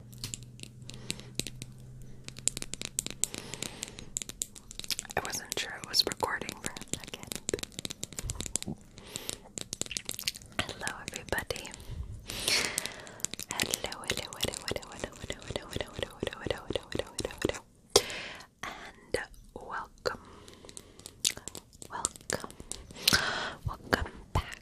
I wasn't sure it was recording for a second. Hello, everybody. Hello, hello, hello, hello, hello, hello, hello, hello, hello, hello, hello, hello, hello, hello, and welcome, welcome, welcome back,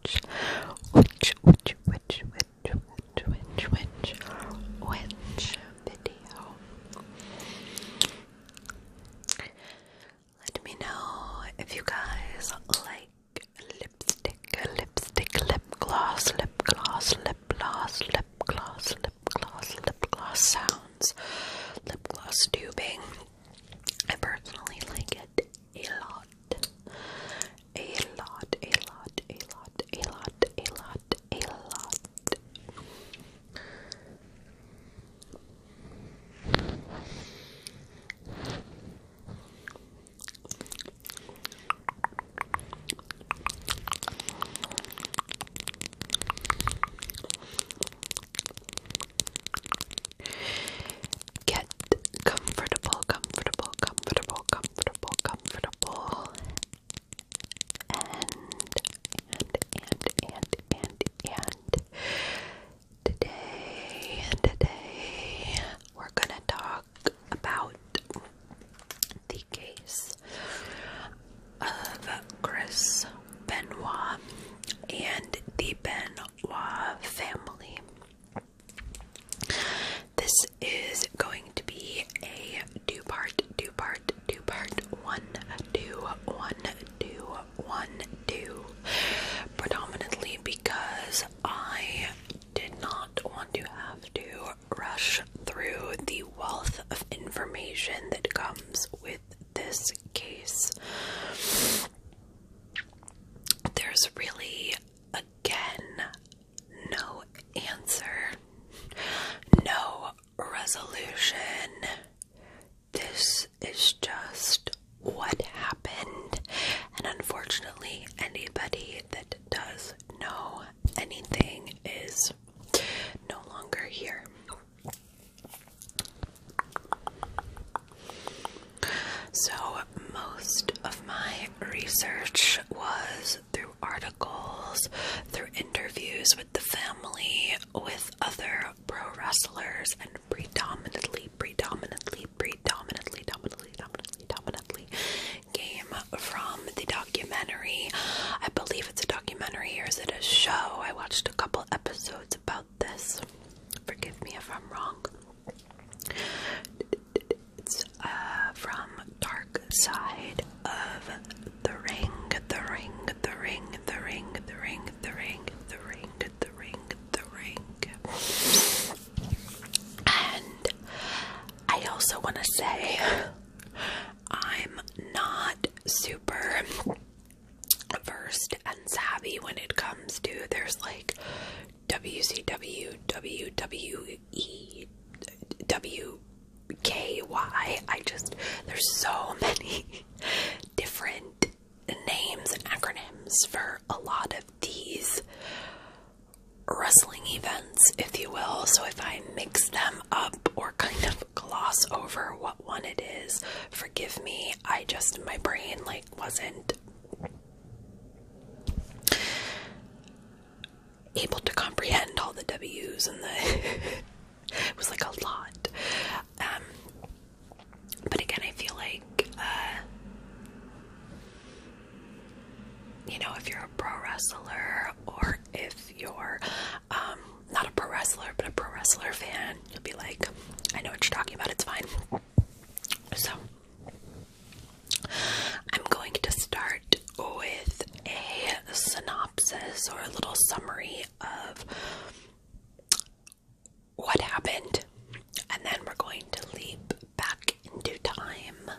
which, which, which, which, which, which, which, which, video. Let me know if you guys like lipstick, lipstick, lip gloss, lip gloss, lip gloss, lip gloss, lip gloss sounds, lip gloss tubing. I personally like it a lot a lot, a lot, a lot, a lot, a lot, a lot. Get comfortable, comfortable, comfortable, comfortable, comfortable. And, and, and, and, and, and. Today, today, we're gonna talk about the case of Chris Benoit and the Benoit family. This is going to be a two part, two part, two part, one, two, one, two, one, two. Predominantly because I did not want to have to rush through the wealth of information that comes with this case. There's really Again, no answer, no resolution. This is just what happened, and unfortunately, anybody that does know anything is no longer here. So, most of my research was through articles, through interviews with the family, with other pro wrestlers, and predominantly, predominantly, predominantly, dominantly, dominantly, dominantly came from the documentary. I believe it's a documentary or is it a show? I watched a couple episodes about this. Forgive me if I'm wrong. It's uh, from Dark Side of the Ring, the Ring, the Ring, the Ring, the Ring, the Ring, the Ring, the Ring, the Ring. And I also want to say I'm not super versed and savvy when it comes to there's like W C W W W E W K Y. I just, there's so many different names and acronyms for a lot of these wrestling events, if you will. So if I mix them up or kind of gloss over what one it is, forgive me. I just, my brain like wasn't able to comprehend all the W's and the it was like a lot. Um, but again, I feel like uh, you know, if you're a pro wrestler or if you're um, not a pro wrestler but a pro wrestler fan, you'll be like, I know what you're talking about. It's fine. So I'm going to start with a synopsis or a little summary of what happened, and then we're going to leap back into time,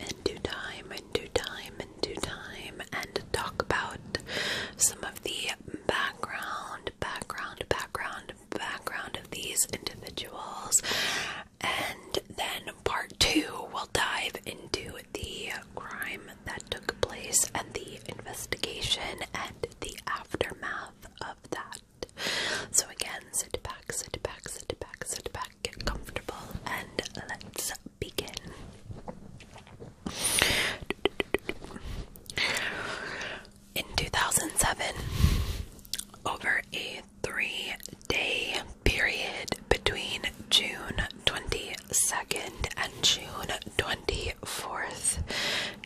into time, into time, into time, and talk about some of the background, background, background, background of these individuals. And then part 2 we'll dive into the crime that took place and the investigation and the aftermath of that. So, again, sit back, sit back, sit back, sit back, get comfortable, and let's begin in 2007 over a three day period between June 22nd and June 24th,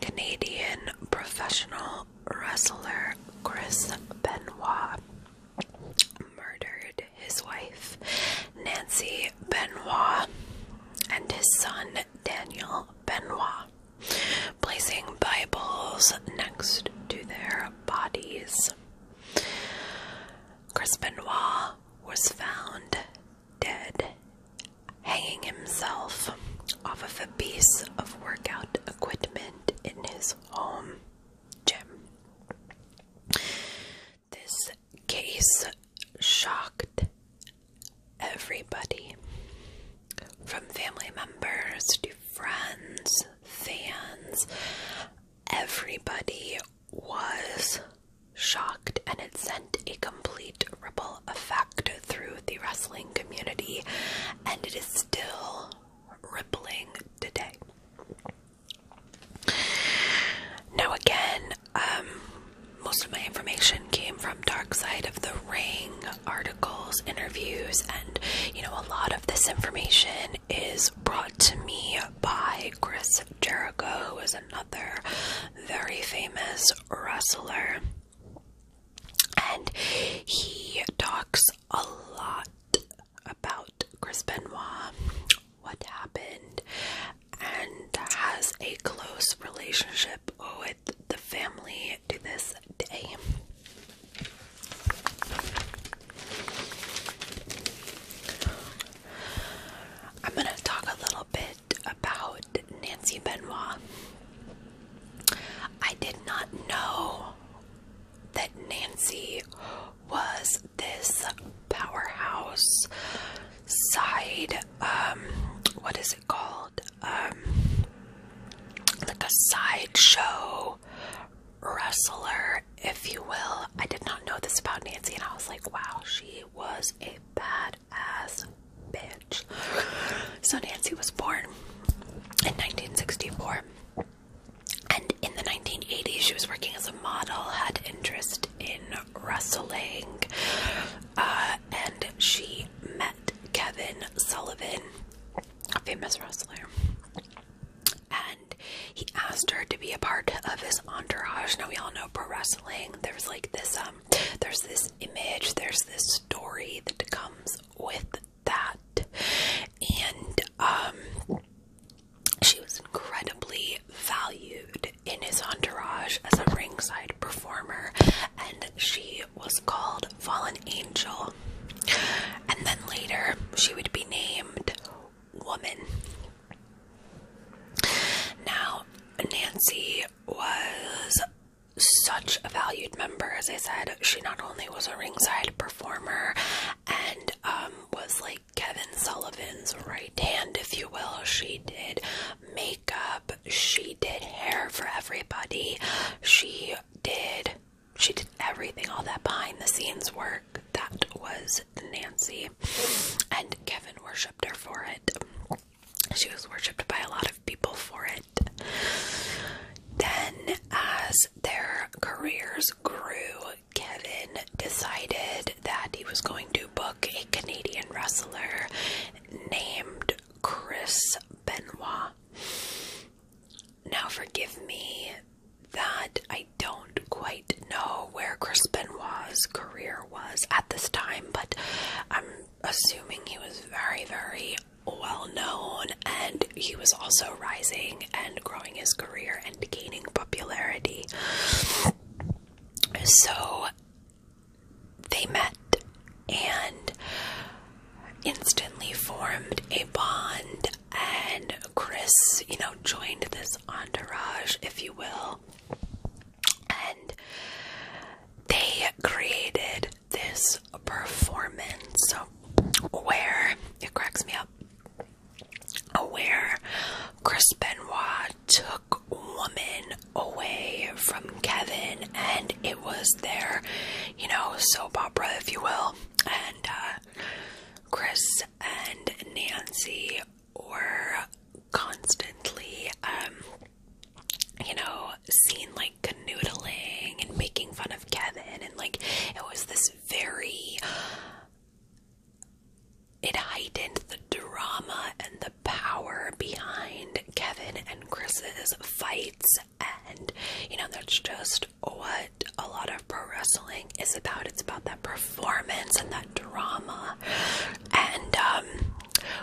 Canadian professional wrestler Chris Benoit murdered his wife Nancy Benoit and his son Daniel Benoit placing Bibles next to their bodies. Crispin Crispinois was found dead, hanging himself off of a piece of workout equipment in his home gym. This case shocked everybody from family members to friends, fans, everybody was shocked and it sent a complete ripple effect through the wrestling community and it is still rippling today. Now again, um, most of my information came from Dark Side of the Ring articles, interviews, and you know, a lot of this information is brought to me by Chris Jericho, who is another very famous wrestler. And he talks a lot about Chris Benoit, what happened, and has a close relationship with the family to this day. I'm going to talk a little bit about Nancy Benoit. I did not know that Nancy was this powerhouse side, um, what is it called? Um, like a sideshow wrestler, if you will. I did not know this about Nancy, and I was like, wow, she was a bad ass bitch. So, Nancy was born in 1964. And in the 1980s, she was working as a model, had interest in wrestling, uh, and she met Kevin Sullivan, a famous wrestler, and he asked her to be a part of his entourage. Now we all know pro wrestling. There's like this um there's this image, there's this story that comes with that. And um she was incredibly valued in his entourage as a ringside performer, and she was called Fallen Angel. And then later, she would be named Woman. Now, Nancy was such a valued member, as I said. She not only was a ringside performer and um, was like Kevin Sullivan's right hand, if you will, she did. Make makeup, she did hair for everybody, she did she did everything, all that behind the scenes work. That was Nancy. And Kevin worshipped her for it. She was worshipped by a lot of people for it. Then, as their careers grew, Kevin decided that he was going to book a Canadian wrestler named Chris Benoit. Now, forgive me that I don't quite know where Chris Benoit's career was at this time, but I'm assuming he was very, very well known and he was also rising and growing his career and gaining popularity. So they met and instantly formed a bond. And Chris, you know, joined this entourage, if you will. And they created this performance So, where it cracks me up. Where Chris Benoit took woman away from Kevin, and it was their, you know, soap opera, if you will. And uh, Chris and Nancy were constantly, um, you know, seen like canoodling and making fun of Kevin, and like it was this very. It heightened the drama and the power behind Kevin and Chris's fights, and you know, that's just what a lot of pro wrestling is about. It's about that performance and that drama, and um,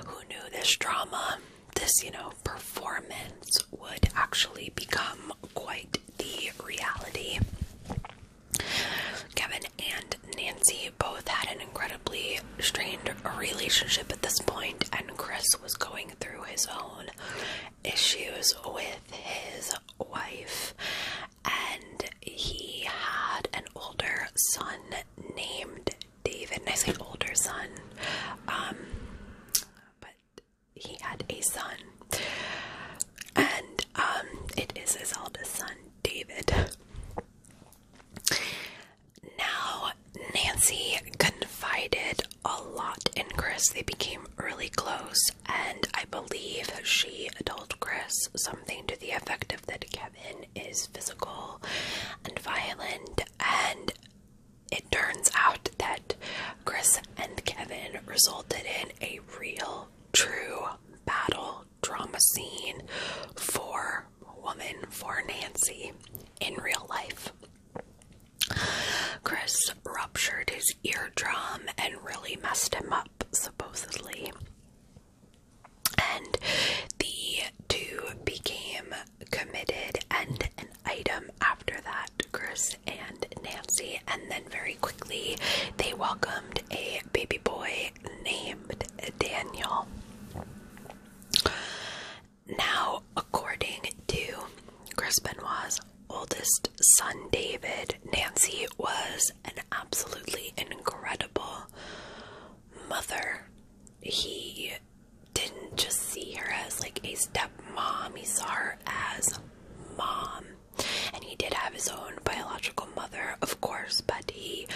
who knew this drama, this you know, performance would actually become quite the reality. Kevin and Nancy both had an incredible incredibly strained relationship at this point, and Chris was going through his own issues with his wife, and he had an older son named David. And I say older son, um, but he had a son, and um, it is his eldest son, David. Now, Nancy confided a lot in Chris. They became really close, and I believe she told Chris something to the effect of that Kevin is physical and violent. And it turns out that Chris and Kevin resulted in a real, true battle drama scene for for woman for Nancy in real life. Chris ruptured his eardrum and really messed him up, supposedly. And the two became committed and an item after that, Chris and Nancy. And then very quickly, they welcomed a baby boy named Daniel. Now, according to Chris Benoit's oldest son David, Nancy was an absolutely incredible mother. He didn't just see her as like a stepmom, he saw her as mom. And he did have his own biological mother, of course, but he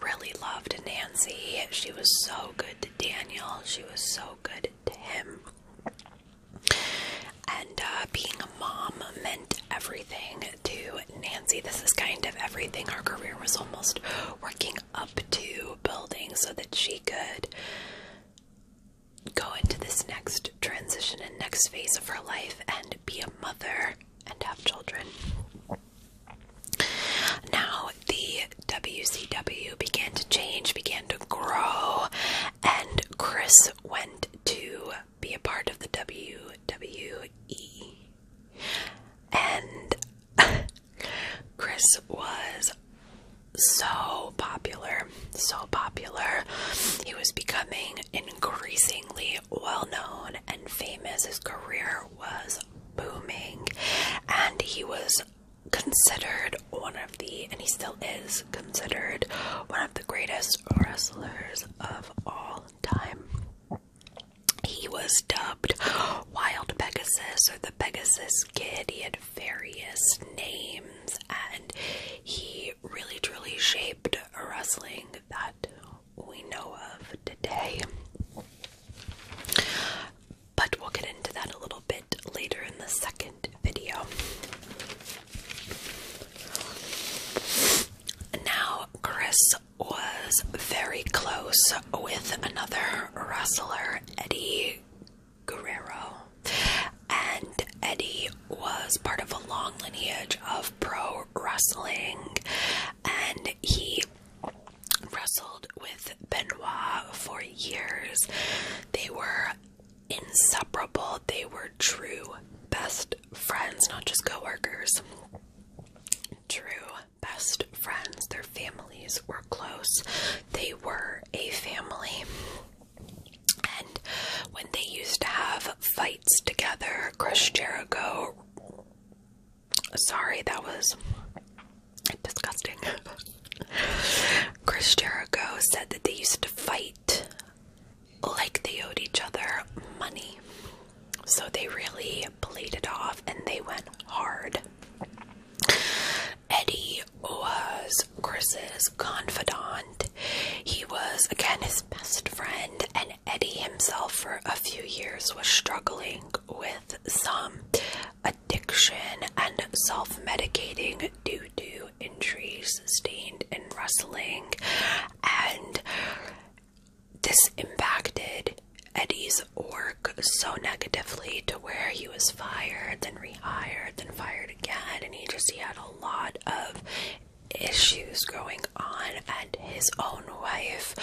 really loved Nancy. She was so good to Daniel. She was so good to him. And uh, being a mom meant everything to Nancy. This is kind of everything Her career was almost working up to building so that she could go into this next transition and next phase of her life and be a mother and have children. Now, the WCW began to change, began to grow, and Chris went to be a part of the WWE. And Chris was so popular, so popular. He was becoming increasingly well known and famous. His career was booming, and he was considered one of the, and he still is considered one of the greatest wrestlers of all time. He was dubbed Wild Pegasus or the Pegasus Kid. He had various names and he really truly shaped wrestling that we know of today. But we'll get into that a little bit later in the second video. Now, Chris was very close with another wrestler, Eddie Guerrero, and Eddie was part of a long lineage of pro wrestling, and he wrestled with Benoit for years. They were inseparable, they were true best friends, not just coworkers. True best friends. Their families were close, they were a family. And when they used to have fights together, Chris Jericho Sorry, that was disgusting. Chris Jericho said that they used to fight like they owed each other money. So they really played it off and they went hard. Eddie was Chris's confidant. He was, again, his best friend, and Eddie himself for a few years was struggling with some addiction and self-medicating due to injuries sustained in wrestling and this impacted Eddie's work so negatively to where he was fired, then rehired, then fired again, and he just he had a lot of issues going on, and his own wife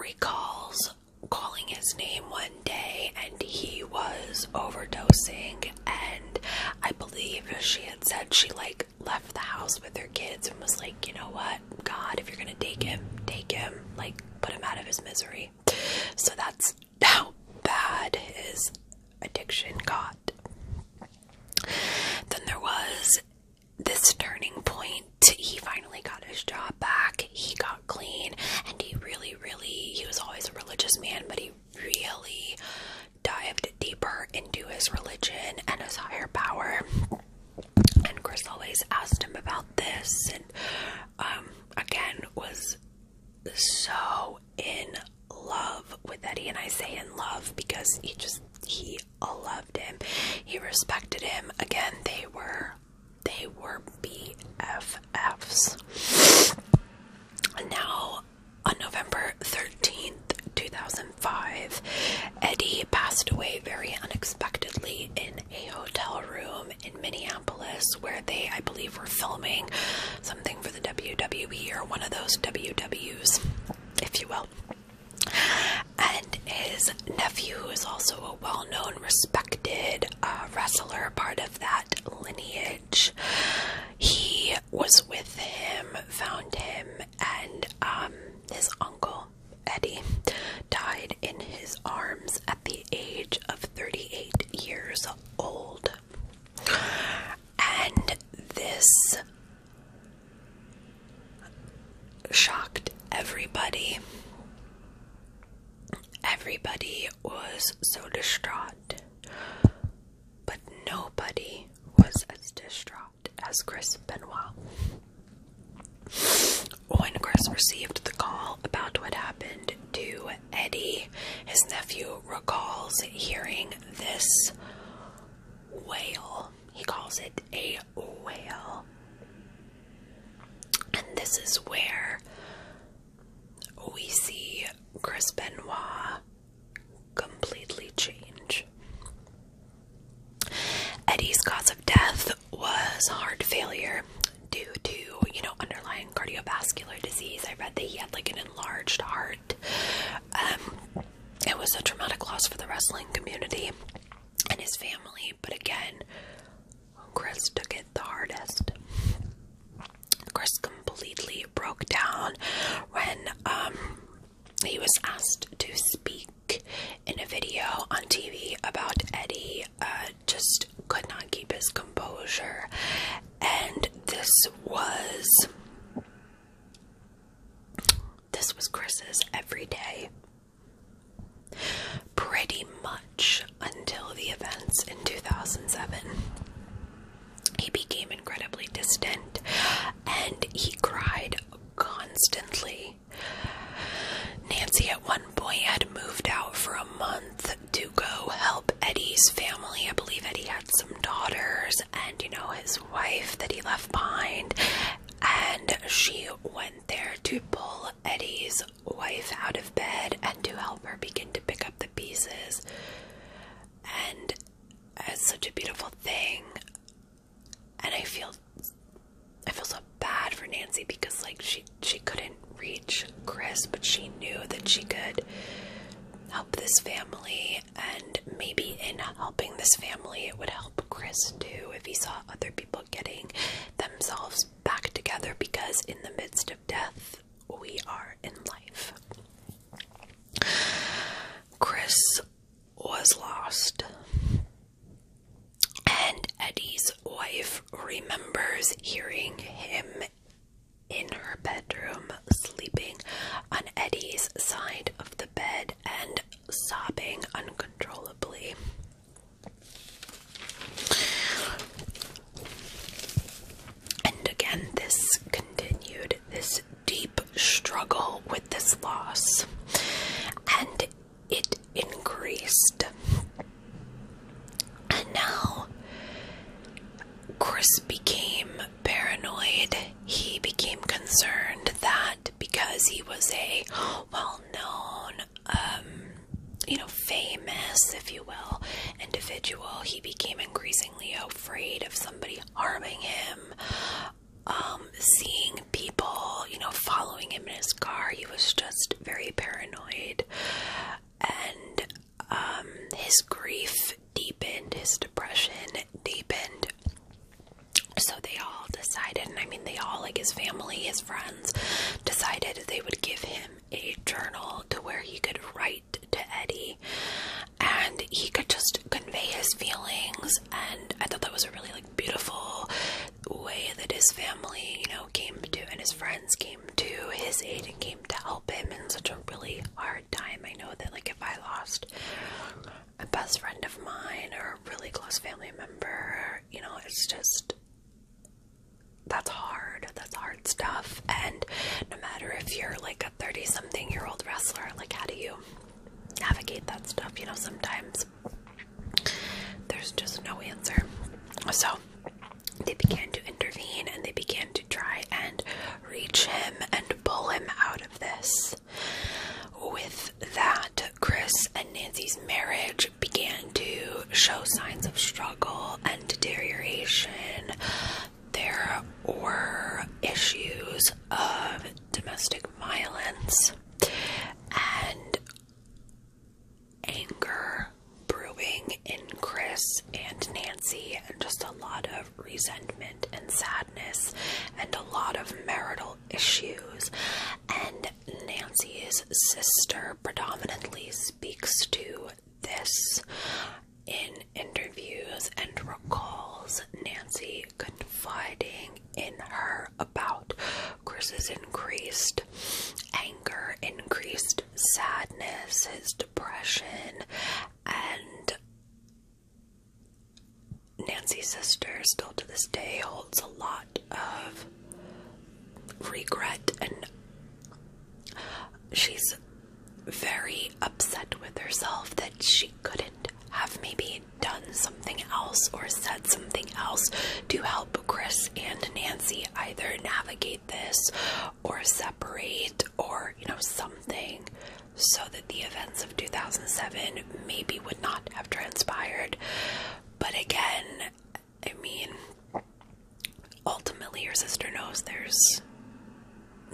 recalls calling his name one day and he was overdosing and I believe she had said she like left the house with their kids and was like, you know what, God, if you're gonna take him, take him, like put him out of his misery. So that's how bad his addiction got. Then there was this turning point, he finally got his job back. He got clean, and he really, really, he was always a religious man, but he really dived deeper into his religion and his higher power. And Chris always asked him about this, and um, again, was so in love with Eddie. And I say in love because he just, he all loved him. He respected him. Again, they were they were BFFs. Now, on November 13th, 2005, Eddie passed away very unexpectedly in a hotel room in Minneapolis where they, I believe, were filming something for the WWE or one of those WWs, if you will. And his nephew who is also a well known, respected uh, wrestler, part of that lineage. He was with him, found him, and um, his uncle, Eddie, died in his arms at the age of 38 years old. And this shocked everybody. Everybody was so distraught, but nobody was as distraught as Chris Benoit. When Chris received the call about what happened to Eddie, his nephew recalls hearing this wail. He calls it a whale. And this is where we see Chris Benoit completely change. Eddie's cause of death was heart failure due to, you know, underlying cardiovascular disease. I read that he had like an enlarged heart. Um, it was a traumatic loss for the wrestling community and his family, but again, Chris took it the hardest. Chris completely broke down when um, he was asked to speak in a video on TV about Eddie. Uh, just could not keep his composure, and this was this was Chris's every day. Pretty much until the events in 2007. He became incredibly distant and he cried constantly. Nancy, at one point, had moved out for a month to go help Eddie's family. I believe Eddie had some daughters and, you know, his wife that he left behind and she went there to pull Eddie's wife out of bed and to help her begin to pick up the pieces. And it's such a beautiful thing. And I feel I feel so bad for Nancy because like she she couldn't reach Chris, but she knew that she could help this family and maybe in helping this family, it would help Chris too if he saw other people getting themselves back together because in the midst of death, we are in life. Chris was lost, and Eddie's wife remembers hearing him in her bedroom sleeping on Eddie's side of the bed and sobbing uncontrollably. And again, this continued this deep struggle with this loss, and it increased. And now Chris became paranoid. He became concerned that because he was a well-known, um, you know, famous, if you will, individual, he became increasingly afraid of somebody harming him. Um, seeing people, you know, following him in his car, he was just very paranoid, and um, his grief deepened, his depression deepened. So they all decided, and I mean, they all, like his family, his friends, decided they would give him a journal to where he could write to Eddie and he could just convey his feelings. And I thought that was a really, like, beautiful way that his family, you know, came to and his friends came to his aid and came to help him in such a really hard time. I know that, like, if I lost a best friend of mine or a really close family member. You know, it's just that's hard. That's hard stuff. And no matter if you're like a 30 something year old wrestler, like, how do you navigate that stuff? You know, sometimes there's just no answer. So they began to intervene and they began to try and reach him and pull him out of this. With that, Chris and Nancy's marriage began to show signs of struggle and deterioration. There were issues of domestic violence and anger brewing in Chris and Nancy, and just a lot of resentment and sadness and a lot of marital issues. And Nancy's sister predominantly speaks to this in interviews and recalls Nancy confiding in her about Chris's increased anger, increased sadness, his depression, and Nancy's sister still to this day holds a lot of regret and she's very upset with herself that she couldn't have maybe done something else or said something else to help Chris and Nancy either navigate this or separate or you know something so that the events of 2007 maybe would not have transpired. But again, I mean, ultimately, your sister knows there's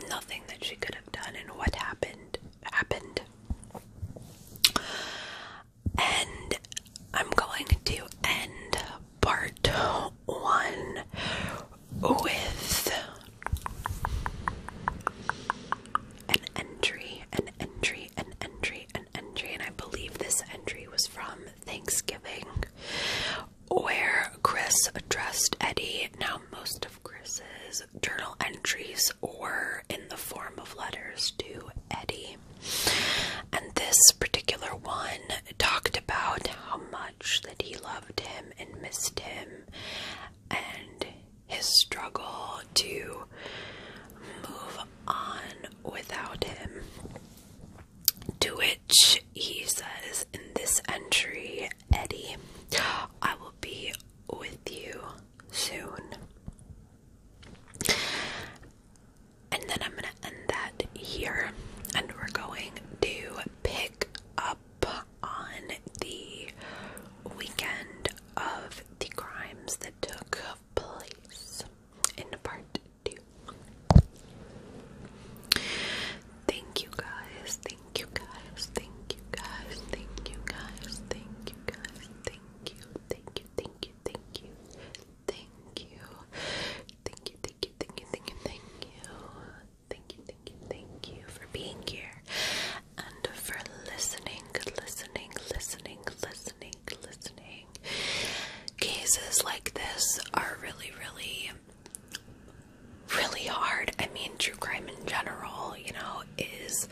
nothing that she could have done, and what happened happened. And I'm going to end part one with an entry, an entry, an entry, an entry, and I believe this entry was from Thanksgiving where Chris addressed Eddie. Now, most of Chris's journal entries were in the form of letters to Eddie, and this particular one talked about how much that he loved him and missed him and his struggle to move on without him. To which he says in this entry, Eddie, I will be with you soon. And then I'm going to end that here, and we're going to pick up up on the weekend of the crimes that took place in part two. Thank you guys, thank you guys, thank you guys, thank you guys, thank you guys, thank you, thank you, thank you, thank you, thank you, thank you, thank you, thank you, thank you, thank you, thank you, Thank you, thank you, thank you for being here and for listening, listening, listening, listening, listening. Cases like this are really, really, really hard. I mean, true crime in general, you know, is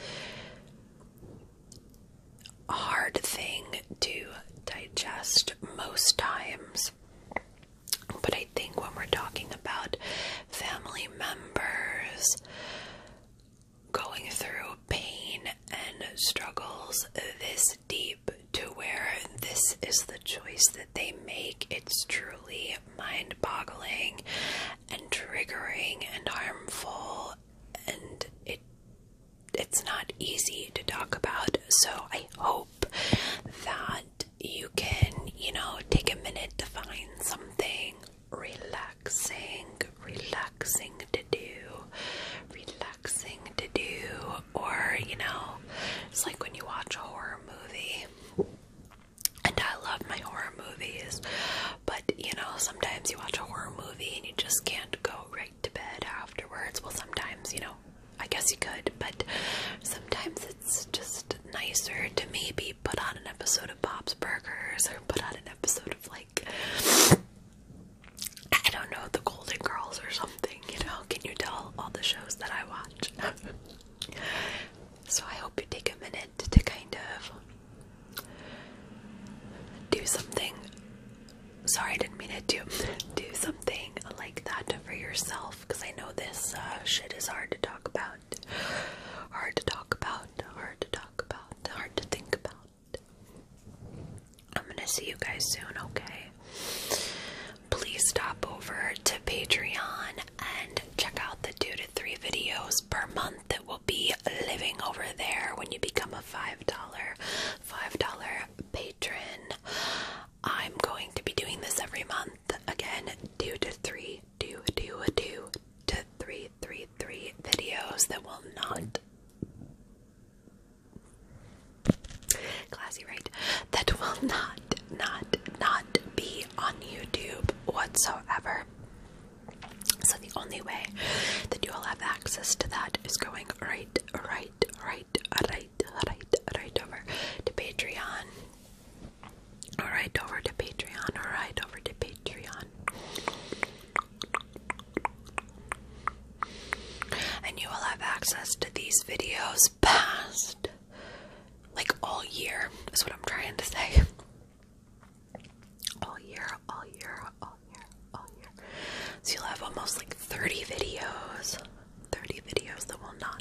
a hard thing to digest most times. But I think when we're talking about family members going through pain and struggles this deep to where this is the choice that they make. It's truly mind boggling and triggering and harmful and it it's not easy to talk about. So I hope that you can, you know, take a minute to find something relaxing, relaxing to do, relaxing to do, or, you know, it's like when you watch a horror movie. And I love my horror movies, but you know, sometimes you watch a horror movie and you just can't go right to bed afterwards. Well, sometimes, you know, I guess you could, but sometimes it's just nicer to maybe put on an episode of Bob's Burgers or put on an episode of like I don't know, the Golden Girls or something, you know? Can you tell all the shows that I watch? so I hope you take a minute to kind of do something. Sorry, I didn't mean to do, do something like that for yourself because I know this uh, shit is hard to talk about hard to talk about, hard to talk about, hard to think about. I'm gonna see you guys soon, okay? Please stop over to Patreon and check out the two to three videos per month that will be living over there when you become a five dollar, five dollar patron. I'm going to be doing this every month again, two to three do do do to three three three videos that will not classy right that will not not not be on YouTube whatsoever. So the only way that you will have access to that is going right, right, right, right, right, right over to Patreon. All right, over to Patreon. All right, over to Patreon. And you will have access to these videos past like all year, is what I'm trying to say. All year, all year, all year, all year. So you'll have almost like 30 videos. 30 videos that will not